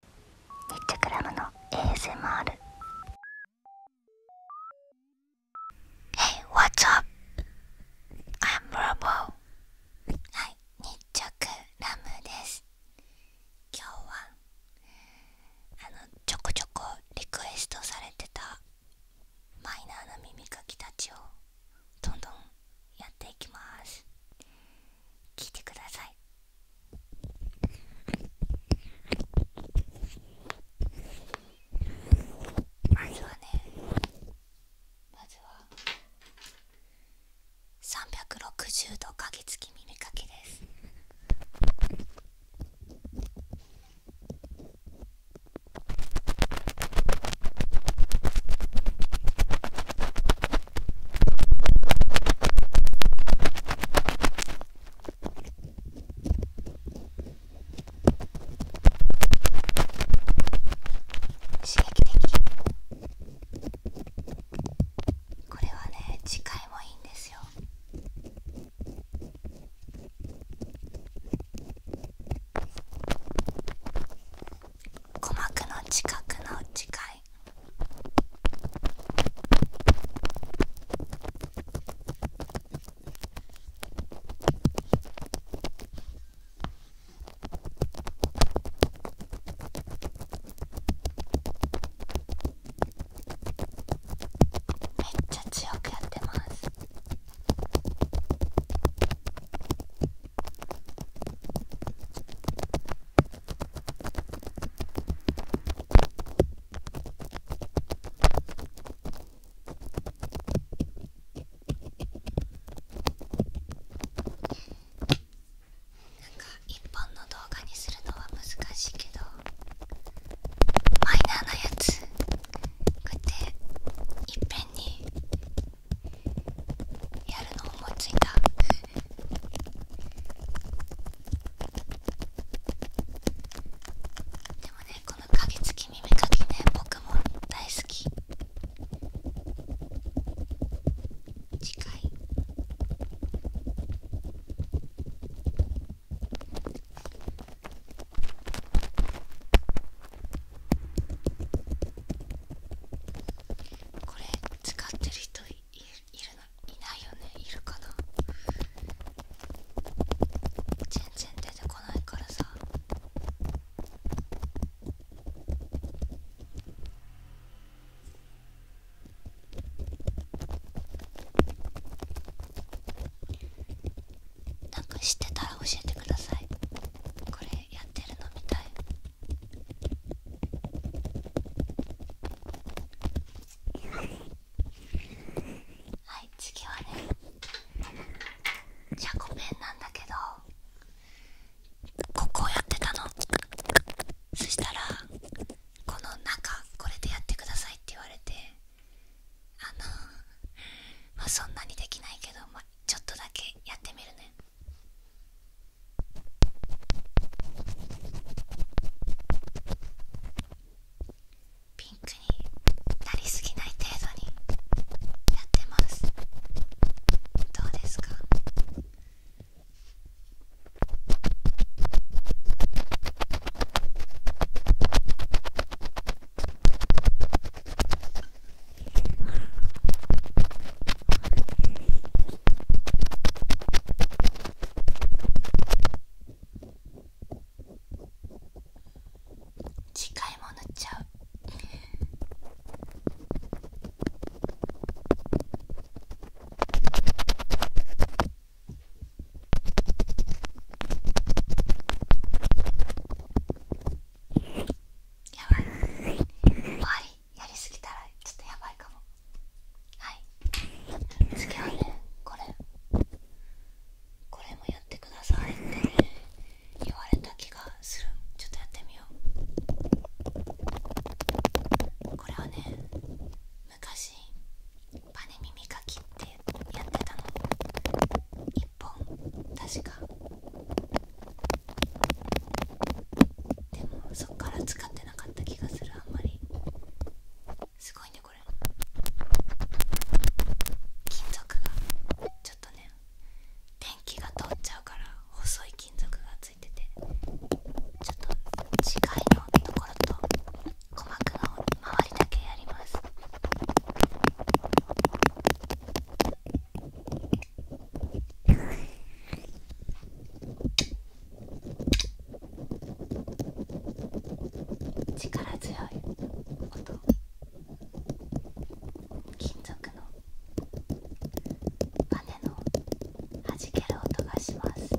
日直ラムの ASMR Hey, what's up? I'm r o はい、ニッラムです今日はあのちょこちょこリクエストされてたマイナーな耳かきたちをどんどんやっていきます聞いてくださいまずはねまずは360度鍵付き耳かきです刺激的これはね次回もいいんですよ鼓膜の近くの次回いめっちゃ強くやってます。なんか一本の動画にするのは難しいけどマイナーなやつこうやっていっぺんにやるの思いついたでもねこの鍵付き耳かきね僕も大好き近いこれ使ってる人いいるの、いないよねいるかな全然出てこないからさなんか知ってたら教えてくださいこれやってるのみたいはい次はねじゃあごめんなんだけどここをやってたのそしたらこの中これでやってくださいって言われてあのまあそんなにできないけど、まちょっとだけやってみるねピンクになりすぎない程度にやってますどうですか近いものちゃうやばい終わりやりすぎたらちょっとやばいかもはい次はねこれこれもやってくださいって、言われた気がするちょっとやってみようこれはね昔パネ耳かきってやってたの1本確かでもそっから使ってなかった気がするあんまりすごいねこれ金属がちょっとね電気が通っちゃうから細い金属がついててちょっと次回のところと鼓膜の周りだけやります。力強い音金属のバネの弾ける音がします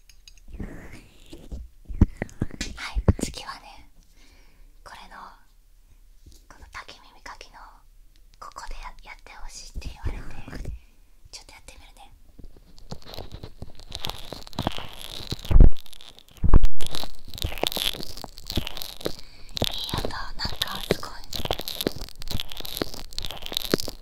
はい次はねこれのこの竹耳かきのここでややってほしいって言われてちょっとやってみるね。いい音なんかすごい。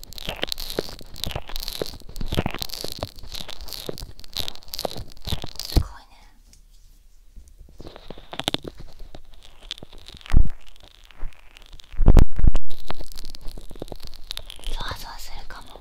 すごいねゾワゾワするかも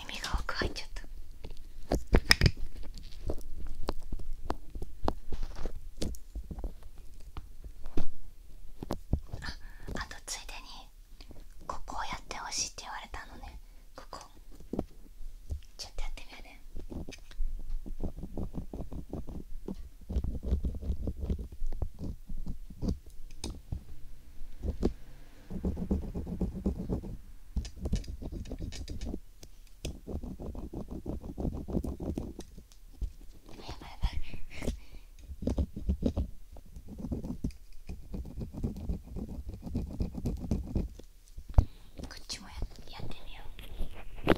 耳が奥入っちゃったあとついでにここをやってほしいって言われたのねここちょっとやってみるねこっちもやってみよ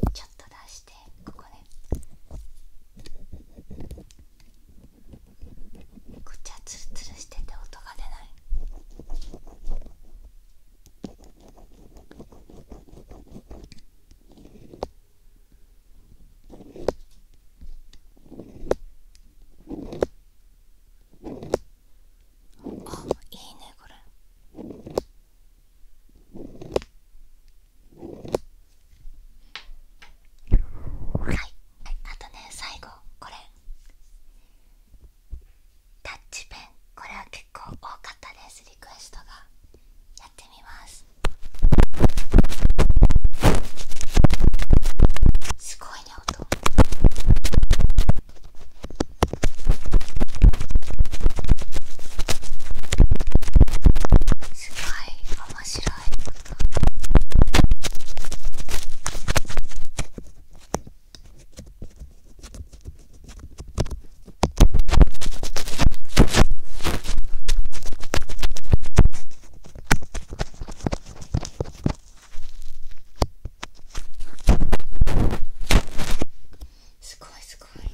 うちょっと出してここで。こっちはツルツルしてて音が出ないあいいねこれ。はいあとね最後これタッチペンこれは結構多かったですリクエストがやってみますすごいね音すごい面白いすごいすごい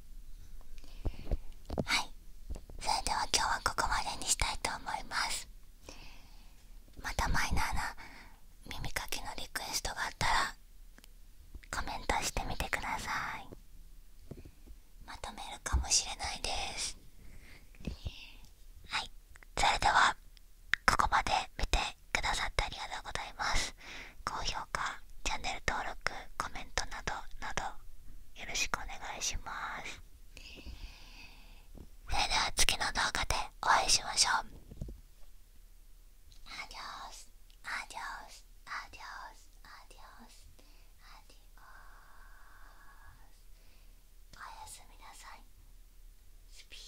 はいそれでは今日はここまでにしたいと思いますまたマイナーな耳かきのリクエストがあったらコメントしてみてくださいまとめるかもしれないですはいそれではここまで見てくださってありがとうございます高評価チャンネル登録コメントなどなどよろしくお願いしますそれでは次の動画でお会いしましょうおやすみなさいスピー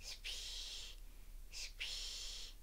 スピースピー